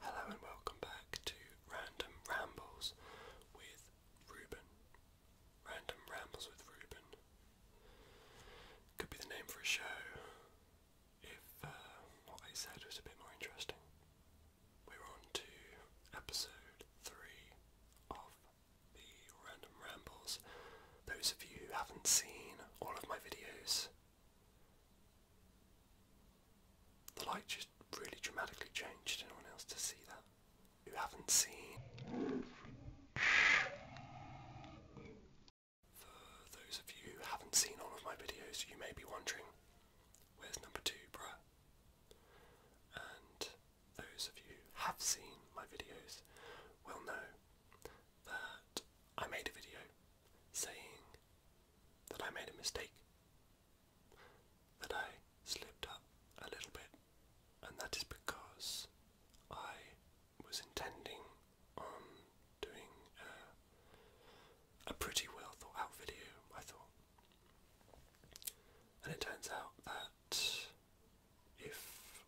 Hello and welcome back to Random Rambles with Ruben. Random Rambles with Ruben. Could be the name for a show if uh, what I said was a bit more interesting. We're on to episode 3 of the Random Rambles. Those of you who haven't seen all of my videos, the light just really dramatically changed. Anyone else to see that? You haven't seen. For those of you who haven't seen all of my videos, you may be wondering, where's number two, bruh? And those of you who have seen my videos will know that I made a video saying that I made a mistake, that I slipped up a little bit, and that is because I was intending on doing a, pretty well thought out video, I thought. And it turns out that if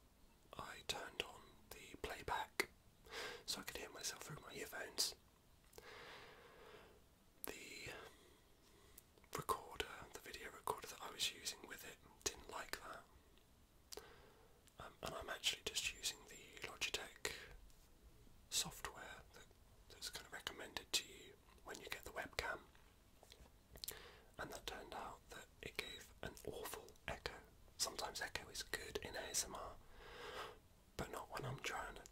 I turned on the playback so I could hear myself through my earphones. The recorder, the video recorder that I was using with it, didn't like that. Um, and I'm actually just using the Logitech software that, that's kind of recommended to you when you get the webcam. And that turned out that it gave an awful echo. Sometimes echo is good in ASMR, but not when I'm trying to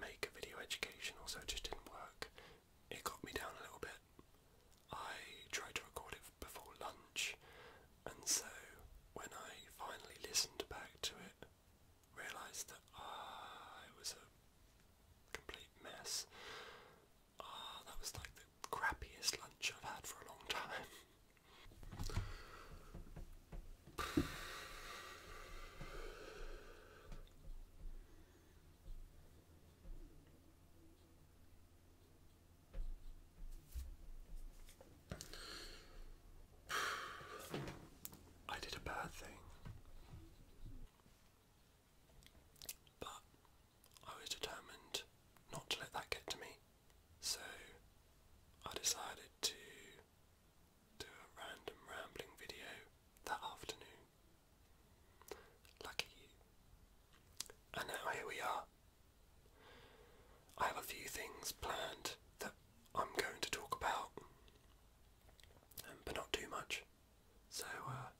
make a video educational, so it just didn't work. It got me down a little bit. I tried to record it before lunch, and so when I finally listened back to it, realised that ah, I was a complete mess. Ah, that was like the crappiest lunch I've had for a long time. I did a bad thing. But I was determined not to let that get to me, so I decided to do a random rambling video that afternoon. Lucky And now here we are. I have a few things planned that I'm going to talk about, um, but not too much. So uh,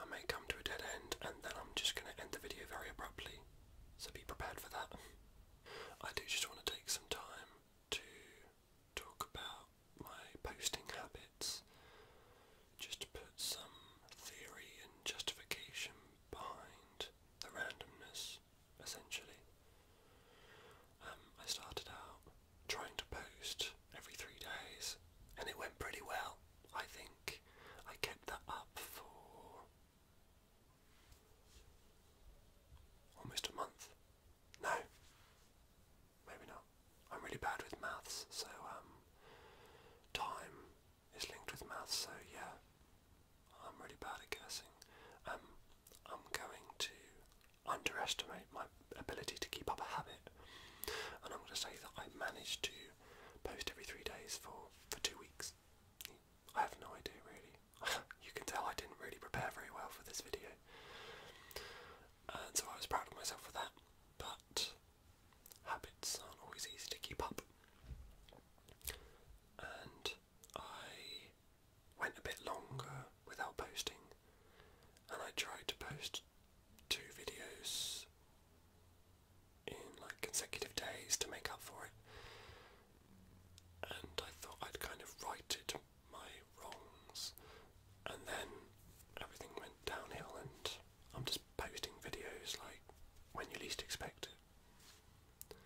I may come to a dead end and then I'm just going to end the video very abruptly. So be prepared for that. I do just want to take some time to talk about my posting habits, just to put some theory and justification behind the randomness, essentially. Um, I started out trying to post every three days, and it went pretty well, I think. I kept that up for Almost a month. No. Maybe not. I'm really bad with maths, so um, time is linked with maths, so yeah, I'm really bad at guessing. Um, I'm going to underestimate my ability to keep up a habit, and I'm going to say that I managed to post every three days for for two weeks. I have no idea really. you can tell I didn't really prepare very well for this video. And so I was proud of myself for that. But habits aren't always easy to keep up. And I went a bit longer without posting. And I tried to post two videos in like consecutive days to make up for it and I thought I'd kind of righted my wrongs, and then everything went downhill, and I'm just posting videos like when you least expect it.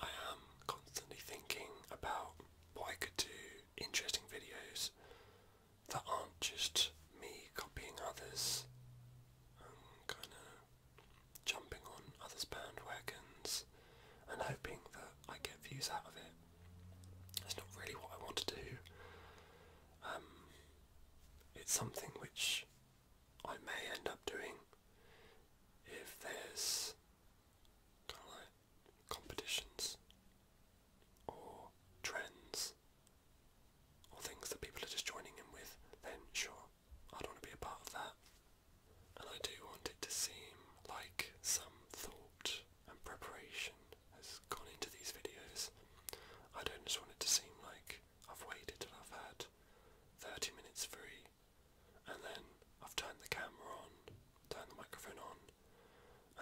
I am constantly thinking about what I could do, interesting videos that aren't just me copying others. kind of jumping on others' bandwagons and hoping that I get views out of it. its not really what I want to do. Um, it's something which I may end up doing if there's kind of like competitions or trends or things that people are just joining in with, then sure, I don't want to be a part of that. And I do want it to seem like some thought and preparation has gone into these videos. I don't just want it to seem like I've waited till I've had 30 minutes free and then I've turned the camera on, turned the microphone on,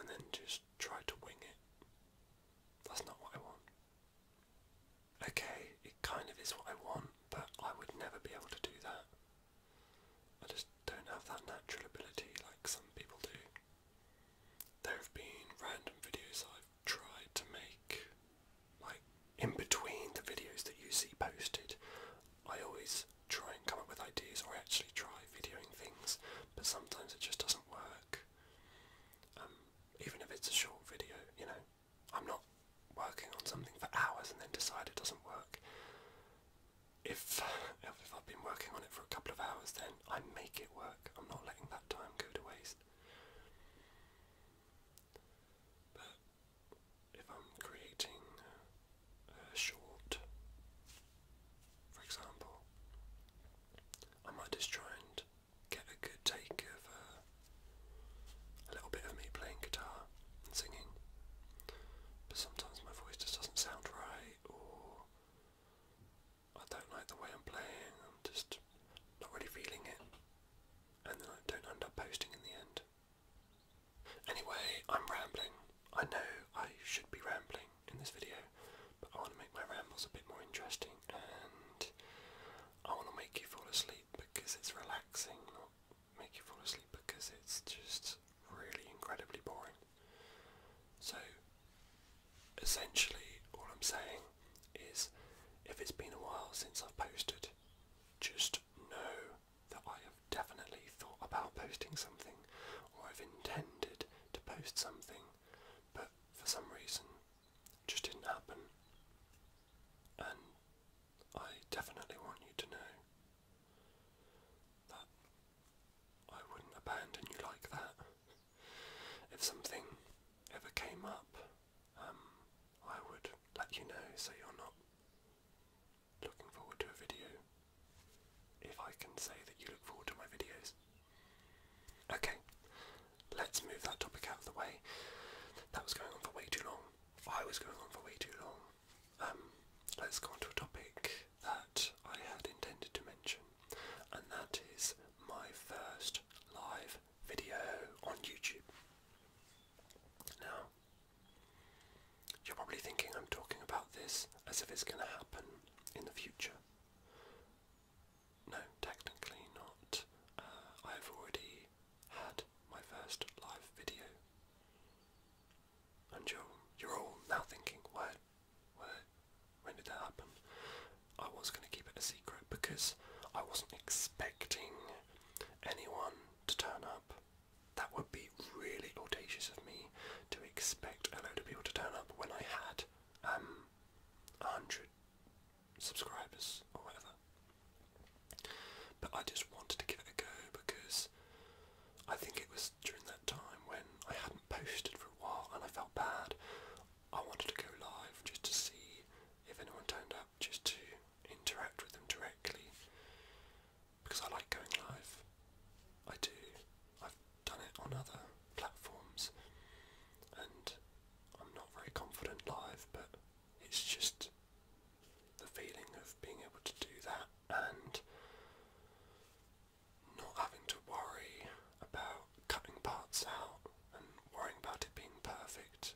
and then just tried to wing it. That's not what I want. Okay, it kind of is what I want, but I would never be able to do that. I just don't have that natural ability like some people do. There have been random videos I've tried to make, like in between the videos that you see posted. I always try and come up with ideas, or I actually try videoing things, but sometimes it just doesn't work. Um, even if it's a short video, you know, I'm not working on something for hours and then decide it doesn't work. If, if I've been working on it for a couple of hours, then I make it work. I'm not letting that time go to waste. But if I'm creating a short, for example, I might just try and get a good take of uh, a little bit of me playing guitar singing, but sometimes my voice just doesn't sound right, or I don't like the way I'm playing, I'm just not really feeling it, and then I don't end up posting in the end. Anyway, I'm rambling. I know I should be rambling in this video, but I want to make my rambles a bit more interesting and I want to make you fall asleep because it's relaxing, make you fall asleep because it's just really incredibly boring. So essentially all I'm saying is if it's been a while since I've posted, just know that I have definitely thought about posting something or I've intended to post something but for some reason it just didn't happen and I definitely want you to know I wouldn't abandon you like that. If something ever came up, um, I would let you know so you're not looking forward to a video. If I can say that you look forward to my videos. Okay, let's move that topic out of the way. That was going on for way too long. I was going on for way too long. Um, let's go on to a topic that I had intended to mention, and that is my first live video on YouTube. Now, you're probably thinking I'm talking about this as if it's going to happen in the future. No, technically not. Uh, I've already had my first live video. And you're, you're all now thinking, where, where, when did that happen? I was going to keep it a secret because I wasn't expecting anyone to turn up. That would be really audacious of me to expect a load of people to turn up when I had um, 100 subscribers or whatever. But I just wanted to give it a go because I think it was during that time when I hadn't posted for a while and I felt bad. I wanted to go live just to see if anyone turned up, just to interact with them directly because I like going live. I do. I've done it on other platforms and I'm not very confident live, but it's just the feeling of being able to do that and not having to worry about cutting parts out and worrying about it being perfect.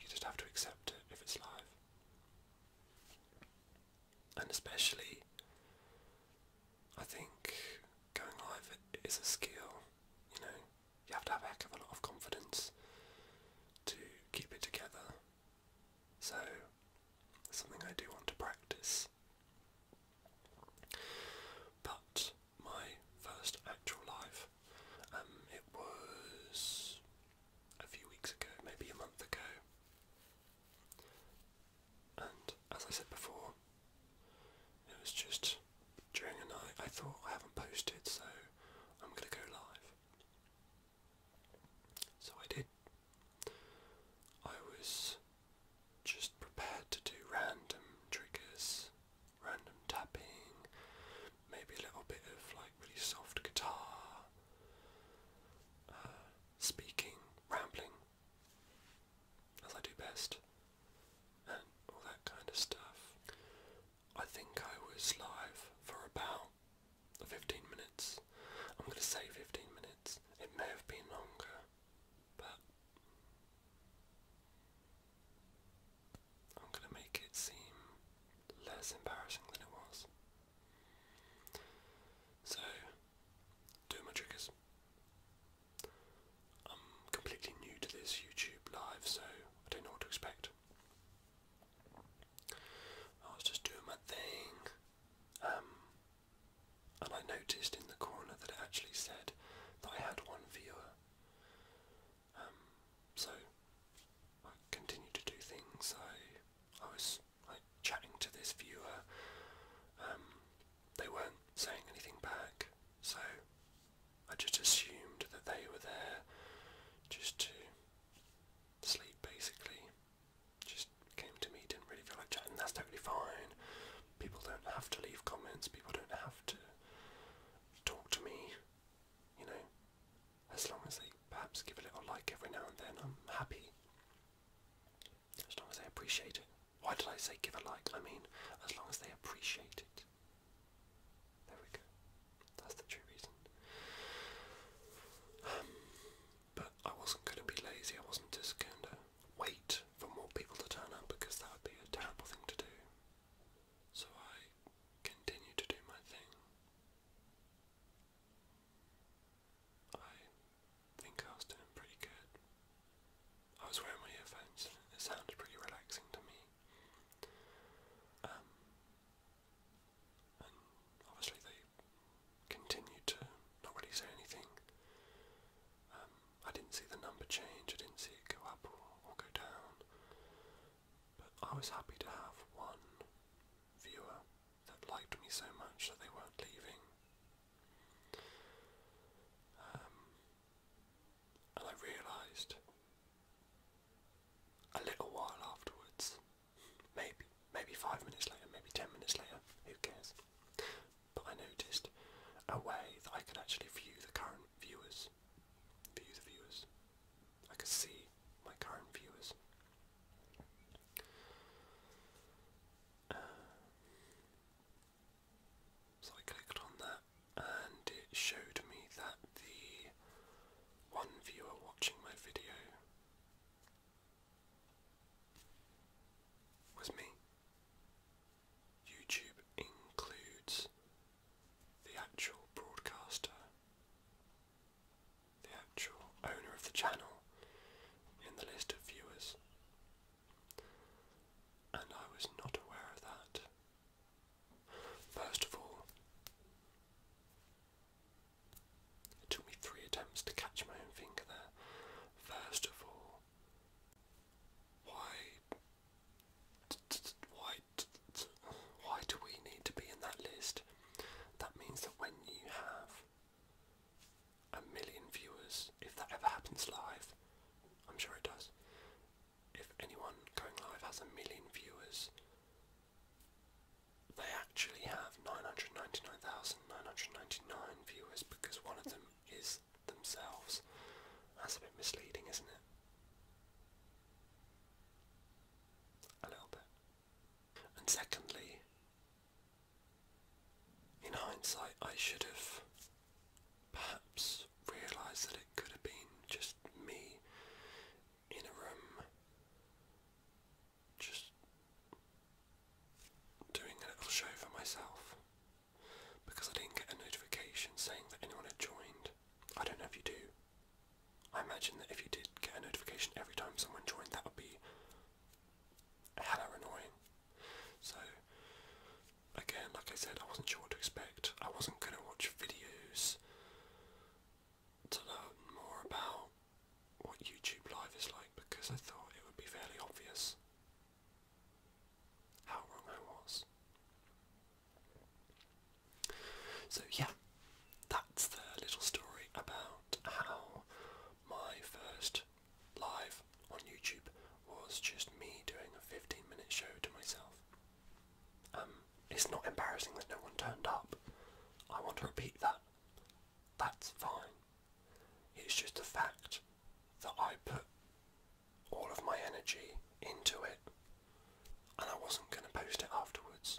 You just have to accept it if it's live. And especially, I think going live is a skill, you know, you have to have a heck of a lot of confidence to keep it together so, something I do want to practice. But my first actual live, um, it was a few weeks ago, maybe a month ago. And as I said before, it was just during a night I thought I haven't posted, so I'm gonna go live. So I did. I was just prepared to do random triggers, random tapping, maybe a little bit of like really soft guitar, uh, speaking, rambling, as I do best, and all that kind of stuff. I think I was live for about 15 minutes. I'm going to say 15 minutes. It may have been longer, but I'm going to make it seem less embarrassing than it was. So, do my triggers. I'm completely new to this YouTube live, so I don't know what to expect. I was just doing my thing, um, and I noticed in the corner that it actually said that I had one viewer. Um, so I continued to do things. I, I was like chatting to this viewer. Um, they weren't saying anything back, so I just assumed that they were there just to sleep basically just came to me, didn't really feel like chatting. That's totally fine. People don't have to leave comments. People don't have to talk to me. You know, as long as they perhaps give a little like every now and then, I'm happy. As long as they appreciate it. Why did I say give a like? I mean, as long as they appreciate it. There we go. That's the true reason. Um, but I wasn't going to be lazy, I wasn't just going to wait for more people to turn up because that would be a terrible thing to do. So I continued to do my thing. I think I was doing pretty good. I was wearing my earphones it sounded pretty relaxing to me. Um, obviously they continued to not really say anything. Um, I didn't see the number change, I didn't see it go up or, go down, but I was happy to have one viewer that liked me so much that they weren't leaving. Um, and I realised a little while afterwards Maybe, maybe five minutes later, maybe ten minutes later, who cares? But I noticed a way that I could actually view the current viewers. View the viewers. I could see my current viewers. Uh, so I clicked on that and it showed me that the one viewer watching my video was me. YouTube includes the actual broadcaster, the actual owner of the channel in the list of viewers. And I was not aware of that. First of all, it took me three attempts to catch my own finger there. First of all, why, why, why do we need to be in that list? That means that when you have a million viewers, if that ever happens live, I'm sure it does. If anyone going live has a million viewers, they actually have 999,999 viewers because one of them is themselves. That's a bit misleading, isn't it? A little bit. And secondly, in hindsight, I should have perhaps realised that it could have been just me in a room just doing a little show for myself because I didn't get a notification saying that anyone had joined. I don't know if you do. I imagine that if you did get a notification every time someone joined, that would be hella annoying. So, again, like I said, I wasn't sure what to expect. I wasn't going to watch videos to learn more about what YouTube Live is like because I thought it would be fairly obvious how wrong I was. So yeah, that's the little story about how my first live on YouTube was just me doing a 15 minute show to myself. Um, it's not embarrassing that no one turned up. I want to repeat that. That's fine. It's just the fact that I put all of my energy into it and I wasn't going to post it afterwards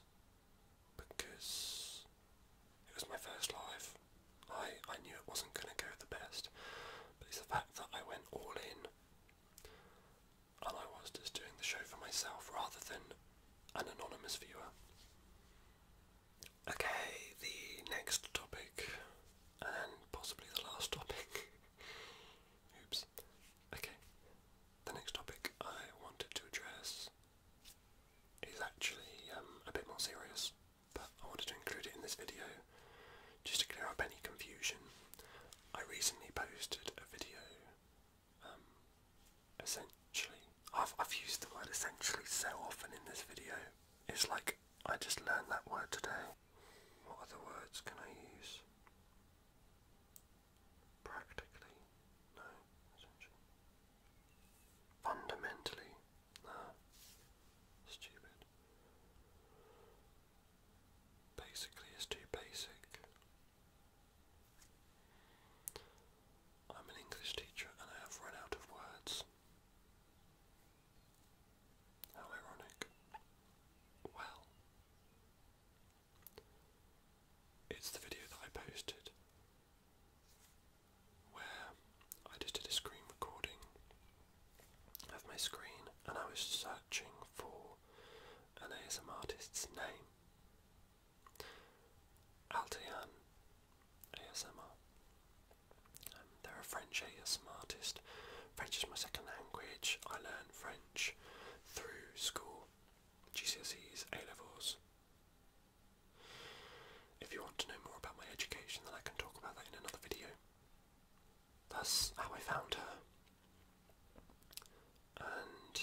because it was my first live. I, I knew it wasn't going to go the best, but it's the fact that I went all in and I was just doing the show for myself rather than an anonymous viewer. Okay, the next topic, and possibly the last topic. Oops. Okay, the next topic I wanted to address is actually um, a bit more serious, but I wanted to include it in this video just to clear up any confusion. I recently posted a video um, essentially. I've, I've used the word essentially so often in this video. It's like I just learned that word today. What other words can I use? Practically? No. Essentially. Fundamentally? No. Stupid. Basically is too basic. I'm an English teacher and I have run out of words. How ironic. Well, it's the video that I posted where I did a screen recording of my screen and I was searching for an ASM artist's name Altian ASMR. Um, they're a French ASM artist. French is my second language. I learned French through school, GCSEs, A levels. If you want to know more about my education, then I can talk about that in another video. That's how I found her. And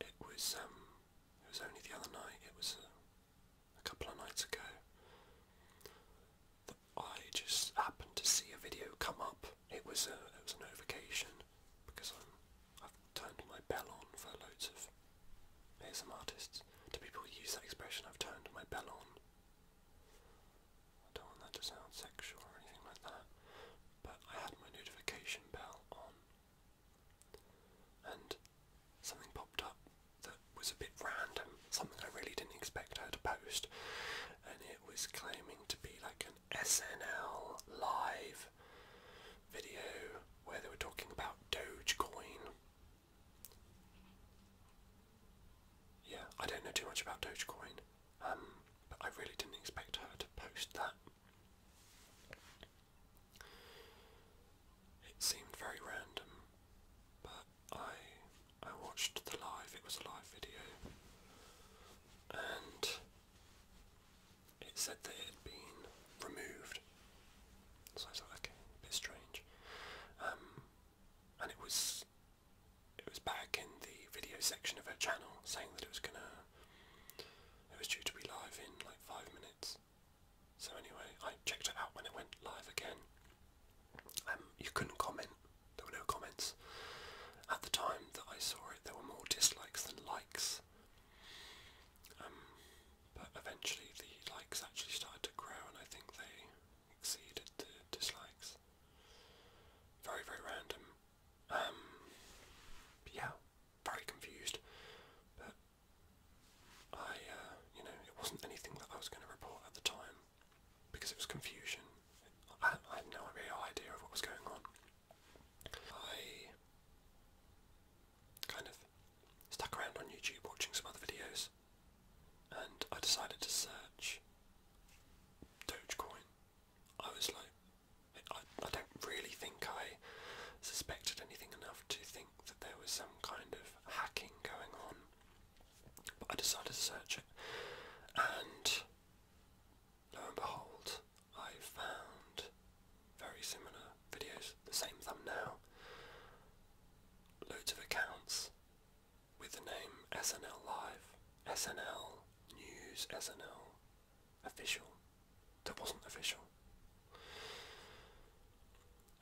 it was um it was only the other night, it was uh, a, couple of nights ago, that I just happened to see a video come up. It was a, it was a notification because I'm, I've turned my bell on for loads of ASM artists. Do people use that expression, I've turned my bell on? I don't want that to sound sexual or anything like that, but I had my notification bell on and something popped up that was a bit random, something I really didn't expect her to post, and it was claiming to be like an SNL live video where they were talking about Dogecoin. Yeah, I don't know too much about Dogecoin, um, but I really didn't expect her to post that. It seemed very random, but I I watched the live, it was a live video, and it said that it had been removed. So I thought, okay, bit strange. Um, and it was it was back in the video section of her channel saying that it was gonna it was due to be live in like five minutes. So anyway, I checked it out when it went live again. Um, you couldn't comment. There were no comments. At the time that I saw it, there were more dislikes than likes. Um, but eventually the likes actually started to grow and I think they exceeded the dislikes. Very, very random. Um, yeah, very confused. But I, uh, you know, it wasn't anything that I was going to report at the time because it was confusion. I, had no idea of what was going on. I kind of stuck around on YouTube watching some other videos and I decided to search Dogecoin. I was like, I, don't really think I suspected anything enough to think that there was some kind of hacking going on. But I decided to search it, and lo and behold, I found very similar videos, the same thumbnail, loads of accounts with the name SNL Live, SNL News, SNL Official, that wasn't official.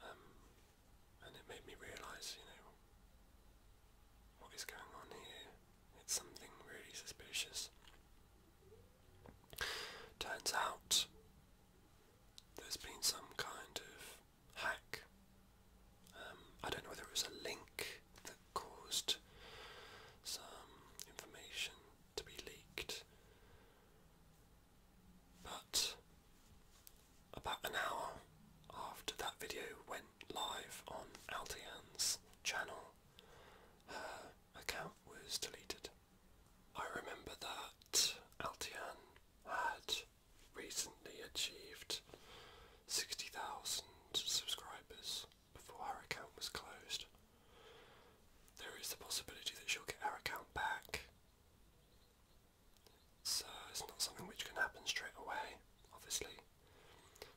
Um, and it made me realise, you know, what is going on here? It's something really suspicious. Turns out there's been some kind of hack. Um, I don't know whether it was a link that caused some information to be leaked, but about an hour after that video went live on Altian's channel, her account was deleted. I remember that Altian had recently achieved 60,000 subscribers before her account was closed. There is the possibility that she'll get her account back. So it's not something which can happen straight away, obviously.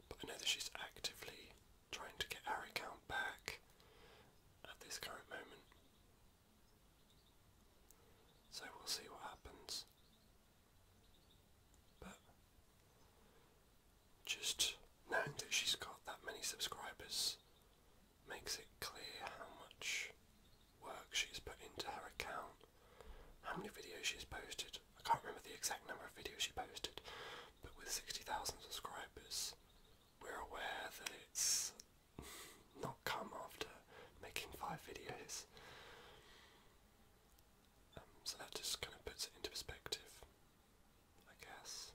But I know that she's actively trying to get her account back at this current moment. So we'll see what happens. But just knowing that she's got that many subscribers makes it clear how much work she's put into her account, how many videos she's posted. I can't remember the exact number of videos she posted, but with 60,000 subscribers, we're aware that it's not come after making five videos. Um, so that just kind of puts it into perspective. I guess.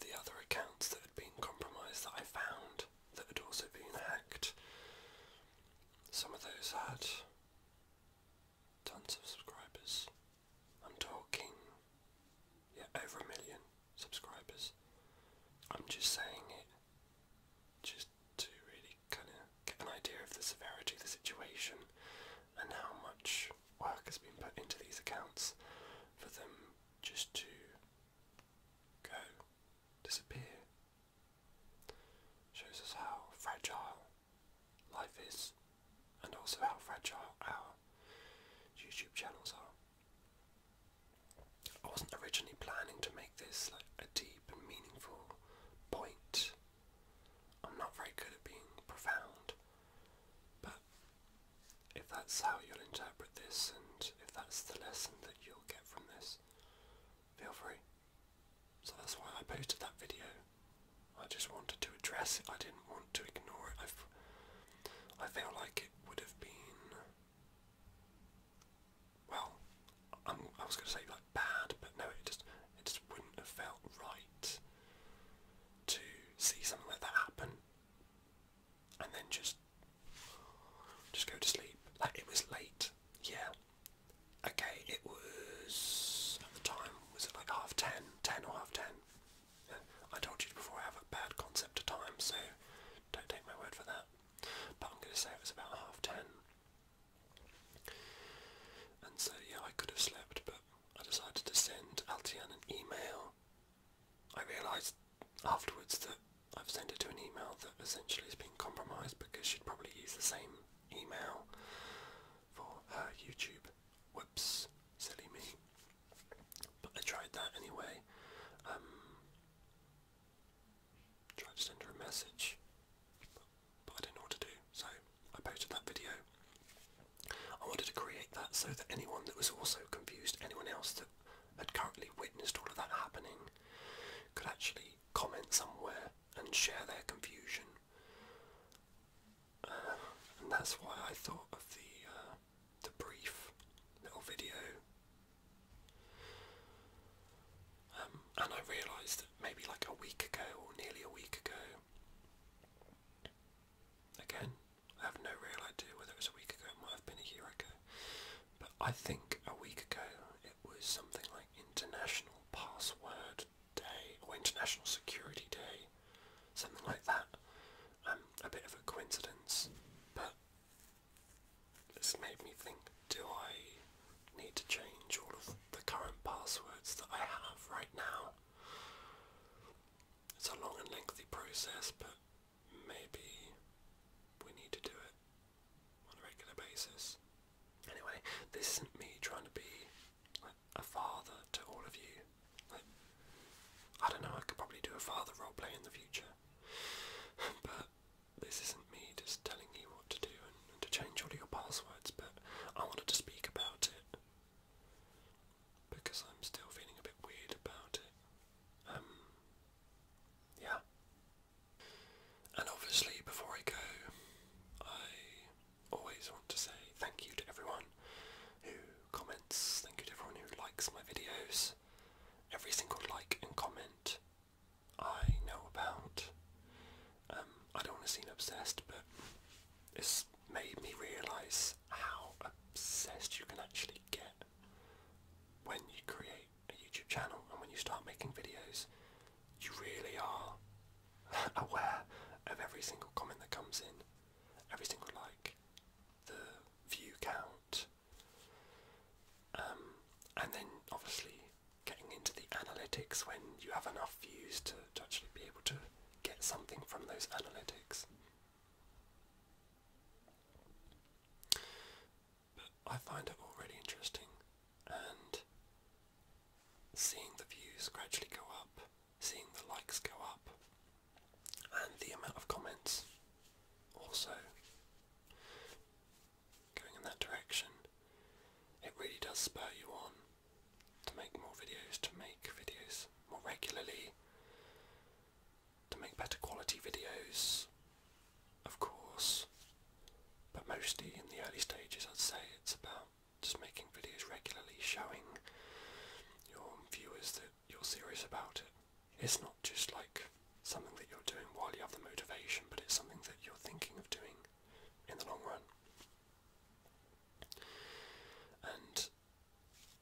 The other accounts that had been compromised that I found that had also been hacked, some of those had tons of subscribers. I'm talking, yeah, over a million subscribers. I'm just saying it just to really kind of get an idea of the severity of the situation and how much work has been put into these accounts for them just to go, disappear. Shows us how fragile life is and also how fragile our YouTube channels are. I wasn't originally planning to make this like a deep and meaningful point. I'm not very good at being profound, but if that's how you'll interpret this and if that's the lesson that you'll get from this, feel free. So that's why I posted that video. I just wanted to address it. I didn't want to ignore it. I've, I feel like it would have been. Well, I'm, I was going to say like bad, but no, it just it just wouldn't have felt right to see something like that happen and then just just go to sleep. Like it was late. Yeah. Okay, it was at the time was it like half ten, ten or half ten? I told you before I have a bad concept of time, so don't take my word for that. But I'm gonna say it was about half ten. And so yeah, I could have slept, but I decided to send Altian an email I realised afterwards that I've sent it to an email that essentially has been compromised because she'd probably use the same email for her YouTube. Whoops, silly me. But I tried that anyway. Um, tried to send her a message, but I didn't know what to do, so I posted that video. I wanted to create that so that anyone that was also confused, anyone else that had currently witnessed all of that happening could actually comment somewhere and share their confusion. Uh, and that's why I thought of the uh, the brief little video. Um, and I realised that maybe like a week ago or nearly a week ago, again, I have no real idea whether it was a week ago, it might have been a year ago. But I think a week ago it was something like International Password Day or International Security Day, something like that. Um, a bit of a coincidence, but this made me think do I need to change all of the current passwords that I have right now? It's a long and lengthy process, but maybe we need to do it on a regular basis. Anyway, this isn't me trying to be a father to all of you. I don't know, I could probably do a father role play in the future. but this isn't me just telling you what to do and, and to change all your passwords, but I wanted to speak about it because I'm still feeling a bit weird about it. Um, yeah. And obviously, before I go, I always want to say thank you to everyone who comments, thank you to everyone who likes my videos. Every single like and comment I know about. Um, I don't want to seem obsessed, but it's made me realise how obsessed you can actually get when you create a YouTube channel and when you start making videos, you really are aware of every single comment that comes in, every single like, the view count, um, and then obviously getting into the analytics when you have enough views to, to actually be able to get something from those analytics. But I find it already interesting, and seeing the views gradually go up, seeing the likes go up, and the amount of comments also going in that direction, it really does spur you on to make more videos, to make videos more regularly, to make better quality videos, of course, but mostly in the early stages I'd say it's about just making videos regularly showing your viewers that you're serious about it. It's not just like something that you're doing while you have the motivation, but it's something that you're thinking of doing in the long run. And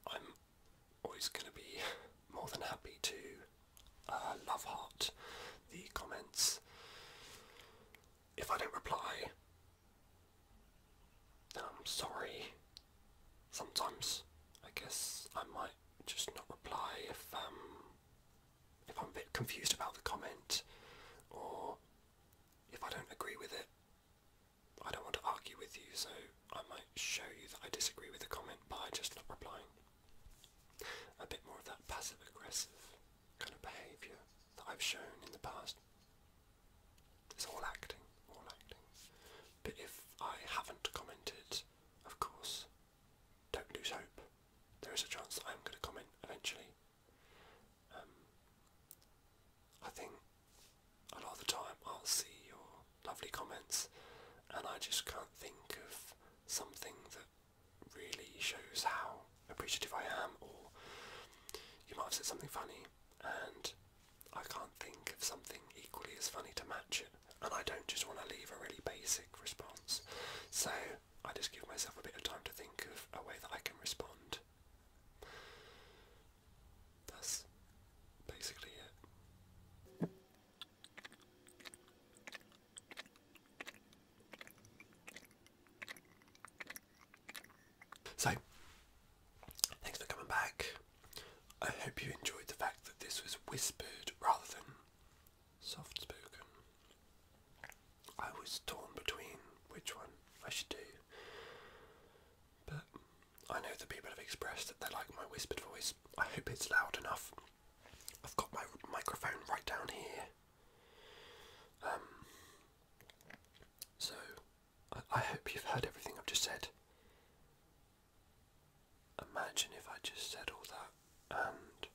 I'm always going to be more than happy to uh, love heart the comments. If I don't reply, then I'm sorry. Sometimes I guess I might just not reply if um if I'm a bit confused about the comment or if I don't agree with it. I don't want to argue with you, so I might show you that I disagree with the comment but by just not replying. A bit more of that passive aggressive kind of behaviour that I've shown in the past. It's all acting, all acting. But if I haven't commented, of course, don't lose hope. There is a chance I'm going to comment eventually. Um, I think a lot of the time I'll see your lovely comments, and I just can't think of something that really shows how appreciative I am. Or you might have said something funny, and I can't think of something equally as funny to match it. And I don't just want to leave a really basic response, so I just give myself a bit of time to think of a way that I can respond. That's basically it. So, thanks for coming back. I hope you enjoyed the fact that this was whispered rather than soft spoken. I was torn between which one I should do, but I know the people have expressed that they like my whispered voice. I hope it's loud enough. I've got my microphone right down here. Um, so, I, hope you've heard everything I've just said. Imagine if I just said all that and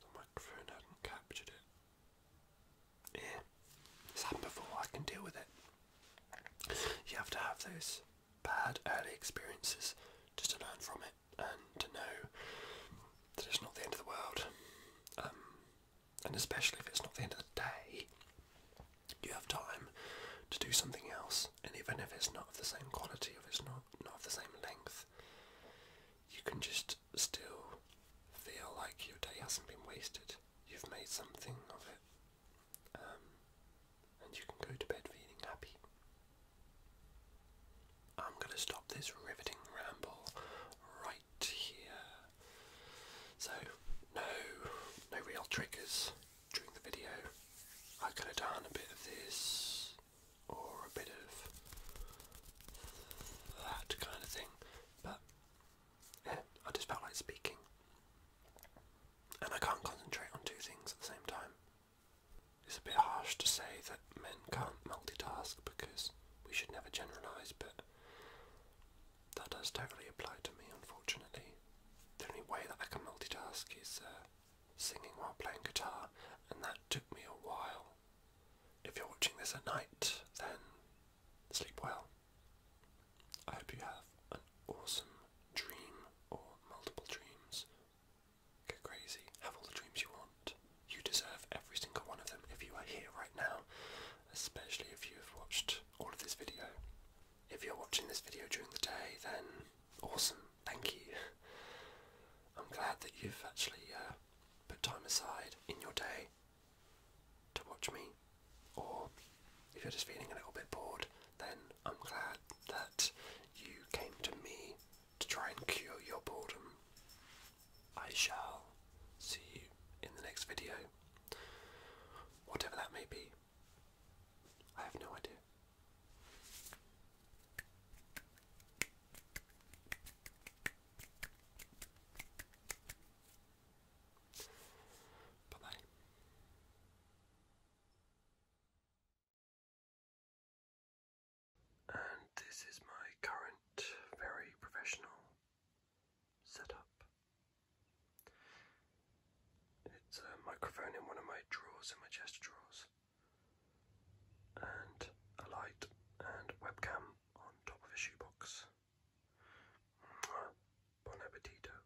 the microphone hadn't captured it. Yeah, before, I can deal with it. You have to have those bad early experiences just to learn from it and to know that it's not the end of the world. Um, and especially if it's not the end of the day, you have time to do something else. And even if it's not of the same quality, if it's not, not of the same length, you can just still feel like your day hasn't been wasted. You've made something of it. Um, and you can go to bed feeling happy. I'm going to stop this riveting ramble right here. So, no, no real triggers during the video. I could have done a bit of this or a bit of that kind of thing, but yeah, I just felt like speaking and I can't concentrate on two things at the same time. It's a bit harsh to say that men can't multitask because we should never generalise, but that does totally apply to me, unfortunately. The only way that I can multitask is uh, singing while playing guitar, and that took me a while. If you're watching this at night, then sleep well. I hope you have awesome dream or multiple dreams. Go crazy. Have all the dreams you want. You deserve every single one of them if you are here right now, especially if you have watched all of this video. If you're watching this video during the day, then awesome. Thank you. I'm glad that you've actually uh, put time aside in your day to watch me, or if you're just feeling a little bit bored, then I'm glad that you came to me to try and cure your boredom. I shall see you in the next video, whatever that may be. I have no idea. Bye bye. And this is my current very professional setup. It's a microphone in one of my drawers, in my chest drawers, and a light and webcam on top of a shoebox. Bon appetito.